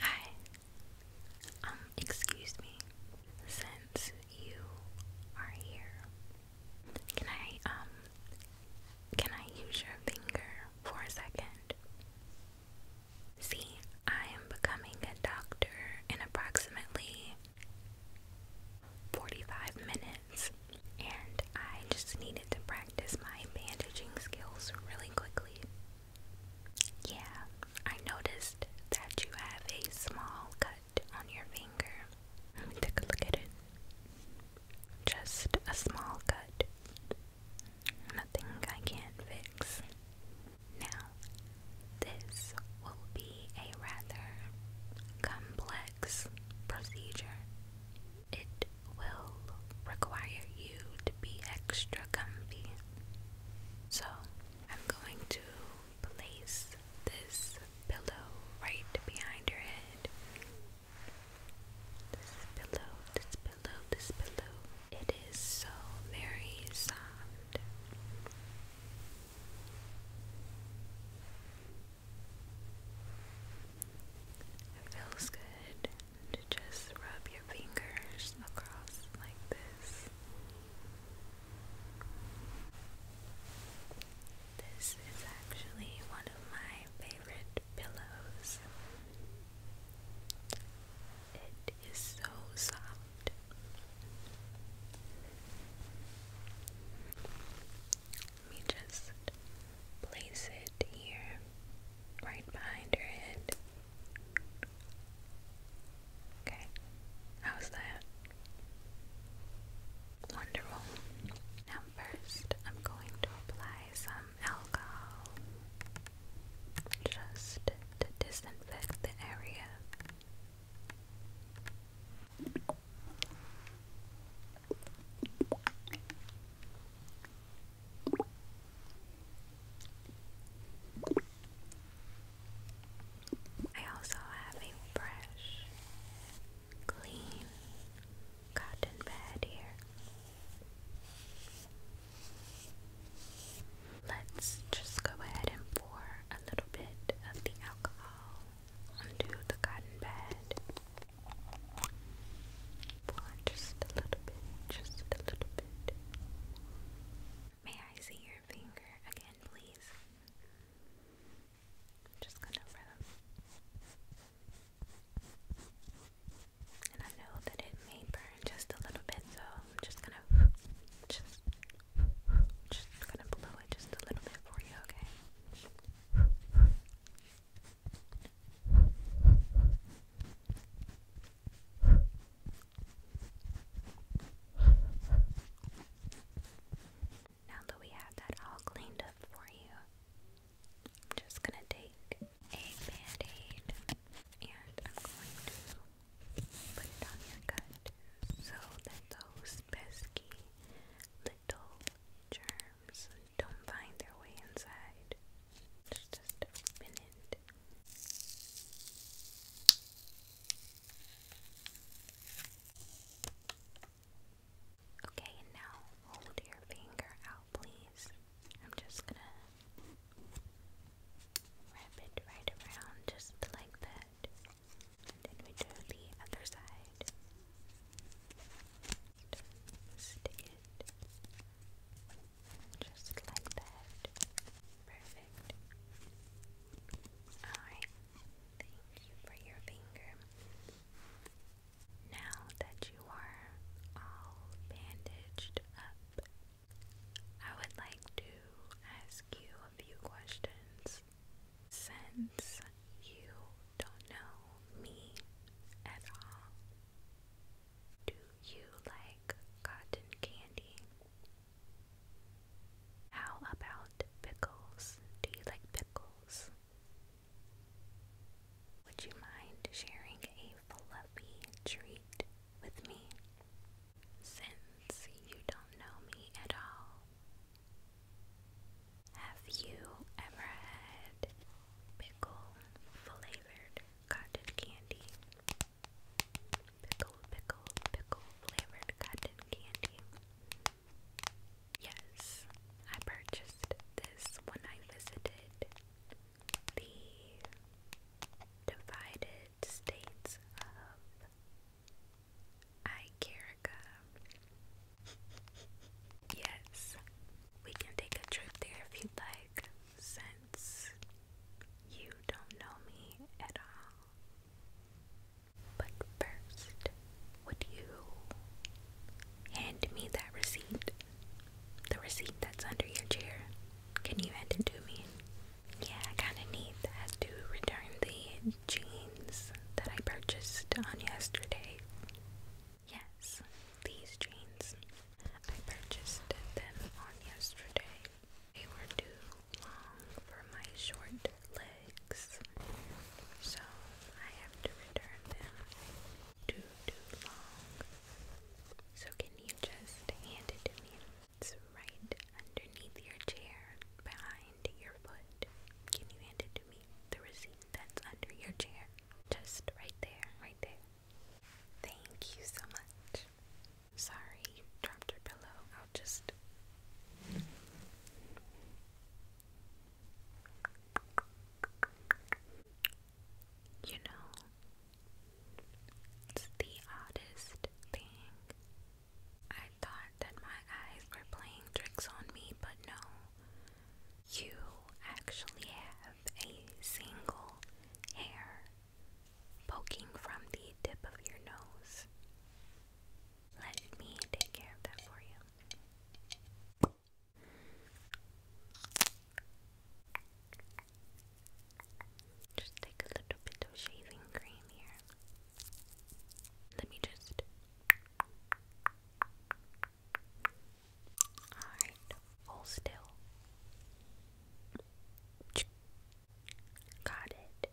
Hi. Um, excuse me. Since you are here, can I, um, can I use your finger for a second? See, I am becoming a doctor in approximately 45 minutes, and I just needed to practice my bandaging skills really quickly. Yeah, I noticed that you have a small cut on your finger. Let me take a look at it. Just a small cut. Nothing I can't fix. Now, this will be a rather complex procedure. It will require you to be extra comfy. So, I'm going to place this pillow right behind your head. This pillow, this pillow, this pillow. It is so very soft. feels good and just rub your fingers across like this. This is actually one of my favorite pillows. It is so soft. Let me just place it here, right behind her head. Okay, how's that? Wonderful. Now, first, I'm going to apply some alcohol just to disinfect the area. I also have a fresh, clean cotton bed here. Let's just go ahead and pour a little bit of the alcohol onto the cotton pad. just a little bit, just a little bit. May I see your finger again, please? just gonna rub. And I know that it may burn just a little bit, so I'm just gonna just just gonna blow it just a little bit for you, okay? Now that we have that all cleaned up for you, I'm just going to take a band and I'm going to put it on your gut so that those pesky little germs don't find their way inside. just open it. Okay, now hold your finger out, please. I'm just gonna wrap it right around just like that. And then we do the other side. stick it just like that. Perfect. Alright. Thank you for your finger. Now that you are all bandaged up, I would like to ask you a few questions since you don't know me at all, do you like cotton candy? How about pickles? Do you like pickles? Would you mind sharing a fluffy treat with me? Since you don't know me at all, have you ever had pickle flavored cotton candy? Pickle, pickle, pickle flavored cotton candy. Yes, I purchased this when I visited the divided states of Icarica. yes, we can take a trip there if you'd like, since you don't know me at all. But first, would you hand me that receipt? The receipt that's under your chair. Can you hand it to me? Yeah, I kind of need that to return the jeans that I purchased on yesterday. Yes, these jeans. I purchased them on yesterday. They were too long for my short legs, so I have to return them. Too, too long. So can you just hand it to me? It's right underneath your chair, behind behind your foot. Can you hand it to me? The receipt that's under your chair. Just right there, right there. Thank you so much. Sorry, dropped your pillow. I'll just. You know, it's the oddest thing I thought that my eyes were playing tricks on me, but no. You actually have a single hair poking from the tip of your nose. Let me take care of that for you. Just take a little bit of shaving cream here. Let me just. Alright, still. Got it.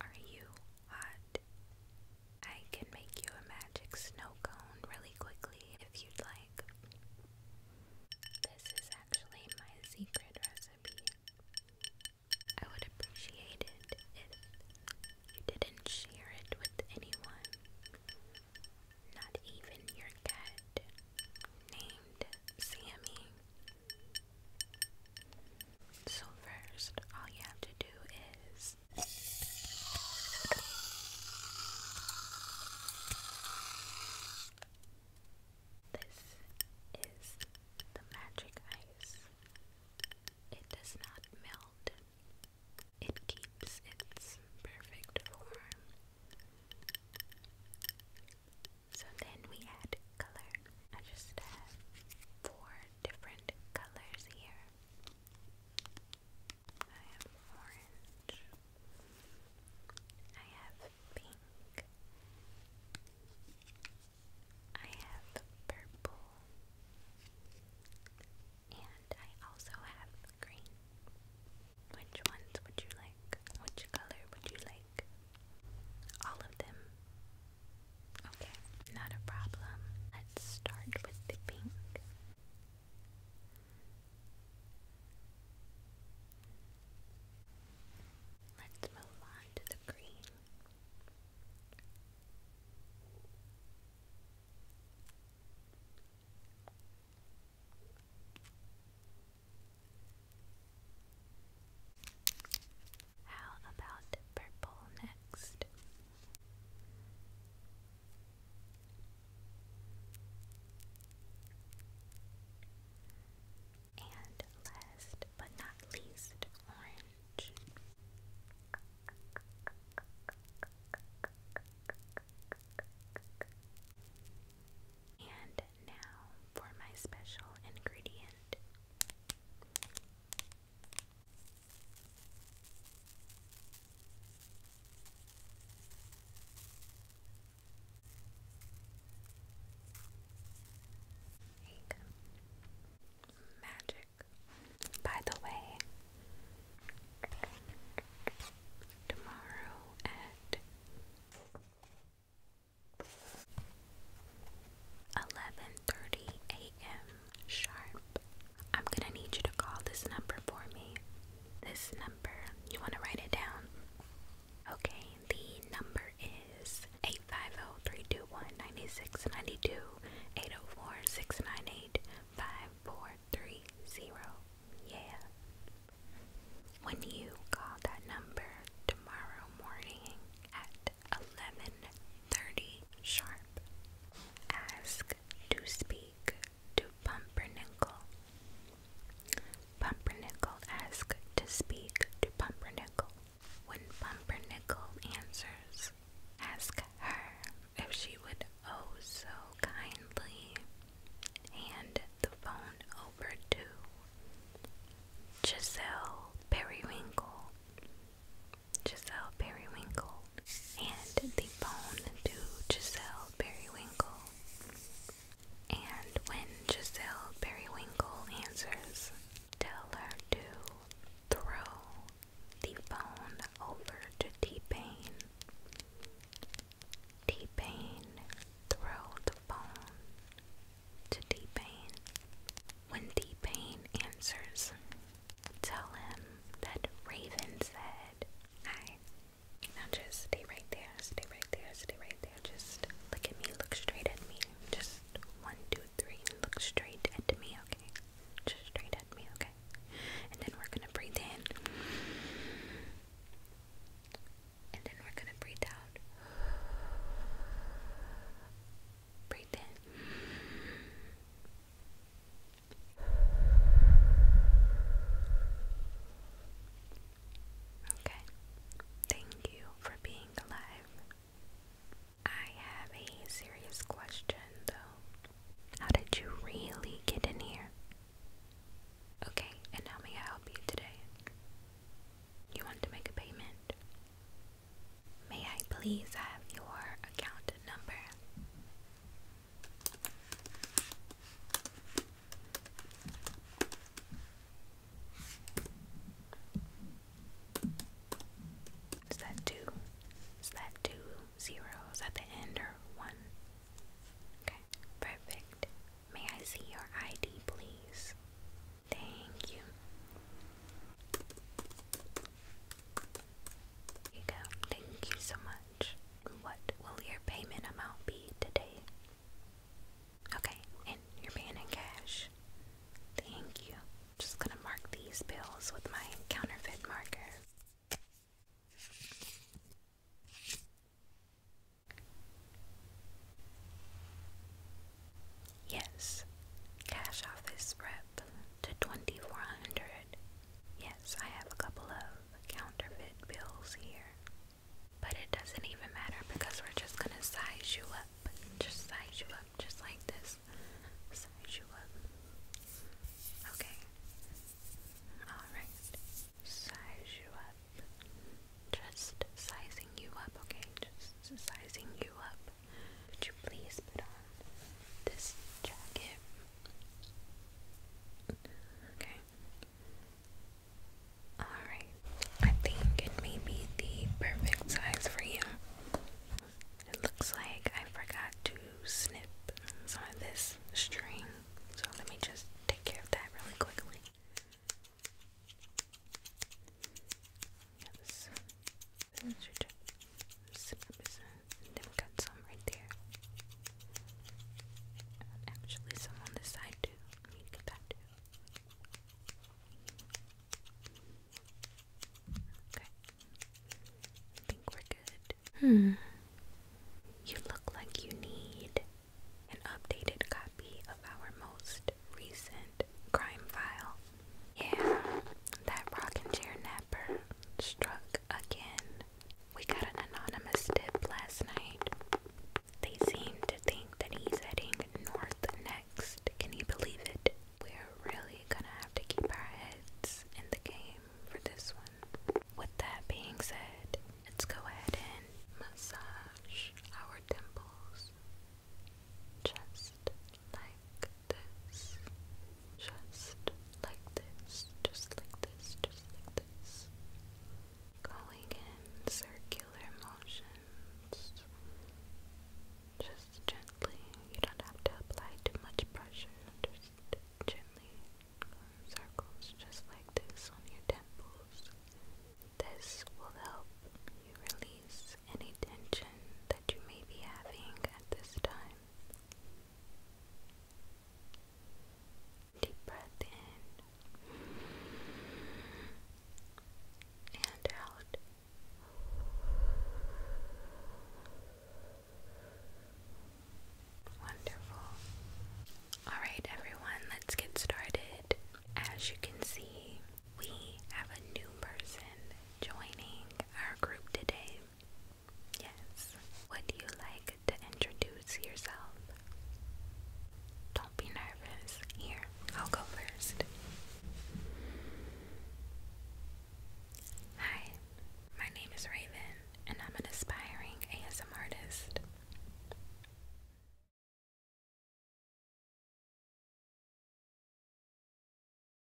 Are you hot? I can make you a magic snow cone really quickly if you'd like. This is actually my secret recipe. I would appreciate it if you didn't share it with anyone, not even your cat named Sammy. So, first, all you have to do is. This is the magic ice. It does not melt. It keeps its perfect form. So then we add color. I just have four different colors here. I have orange. I have pink. I have purple, and I also have green. Which ones would you like? Which color would you like? All of them? Okay, not a problem. Let's start with the pink. Let's move on to the green. How about purple next? And last but not least, orange. And now for my special ingredient. Magic. By the way, tomorrow at eleven thirty a.m. sharp. I'm gonna need you to call this number for me. This number, you wanna write it down? Okay, the number is 850-321-9692-804-698-5430. Yeah. When you call that number tomorrow morning at 11:30 sharp, ask to speak to Pumpernickel. Pumpernickel asks to speak to Pumpernickel. When Pumpernickel answers, ask her if she would oh so kindly hand the phone over to Giselle Periwinkle. Giselle Periwinkle. Hand the phone to Giselle Periwinkle. And when Giselle Periwinkle answers, tell her to throw the phone over to T-Pain. T-Pain, throw the phone to T-Pain. When T-Pain answers, tell him that Raven said, I now just stay right there, stay right there, stay right there. Just look at me, look straight at me. Just one, two, three, look straight at me, okay? Just straight at me, okay? And then we're gonna breathe in. And then we're gonna breathe out. Breathe in. Okay. Thank you for being alive. I have a serious question though. How did you really get in here? Okay, and how may I help you today? You want to make a payment? May I please have your account number? Is that two? Is that two zeros at the end or one? Okay, perfect. May I see your ID, please? Thank you. Here you go. Thank you so much much. What will your payment amount be today? Okay, and you're paying in cash. Thank you. Just gonna mark these bills with my counterfeit marker. Yes, cash office rep to 2400. Yes, I have a couple of counterfeit bills here. But it doesn't even matter because we're just gonna size you up. Just size you up, just like this. Size you up. Okay. Alright. Size you up. Just sizing you up, okay? Just sizing you up. Would you please put on this jacket Okay. Alright. I think it may be the perfect size for you. It looks like I forgot to snip some of this string. So let me just take care of that really quickly. Yes then we got some right there. actually, some on this side too. I need get that too. Okay. think we're good. Hmm. You look like you need an updated copy of our most recent crime file. Yeah, that rocking chair now struck again. We got an anonymous tip last night. They seem to think that he's heading north next. Can you believe it? We're really gonna have to keep our heads in the game for this one. With that being said, let's go ahead and massage our temples just like like this. Just like this. Just like this. Just like this. Going in circular motions. Just gently. You don't have to apply too much pressure. Just gently in circles just like this on your temples. This will help you release any tension that you may be having at this time. Deep breath in and out. Wonderful. Alright, everyone, let's get started. As you can see, we have a new person joining our group today. Yes. Would you like to introduce yourself? Don't be nervous. Here, I'll go first. Hi, my name is Raven, and I'm an aspiring ASM artist.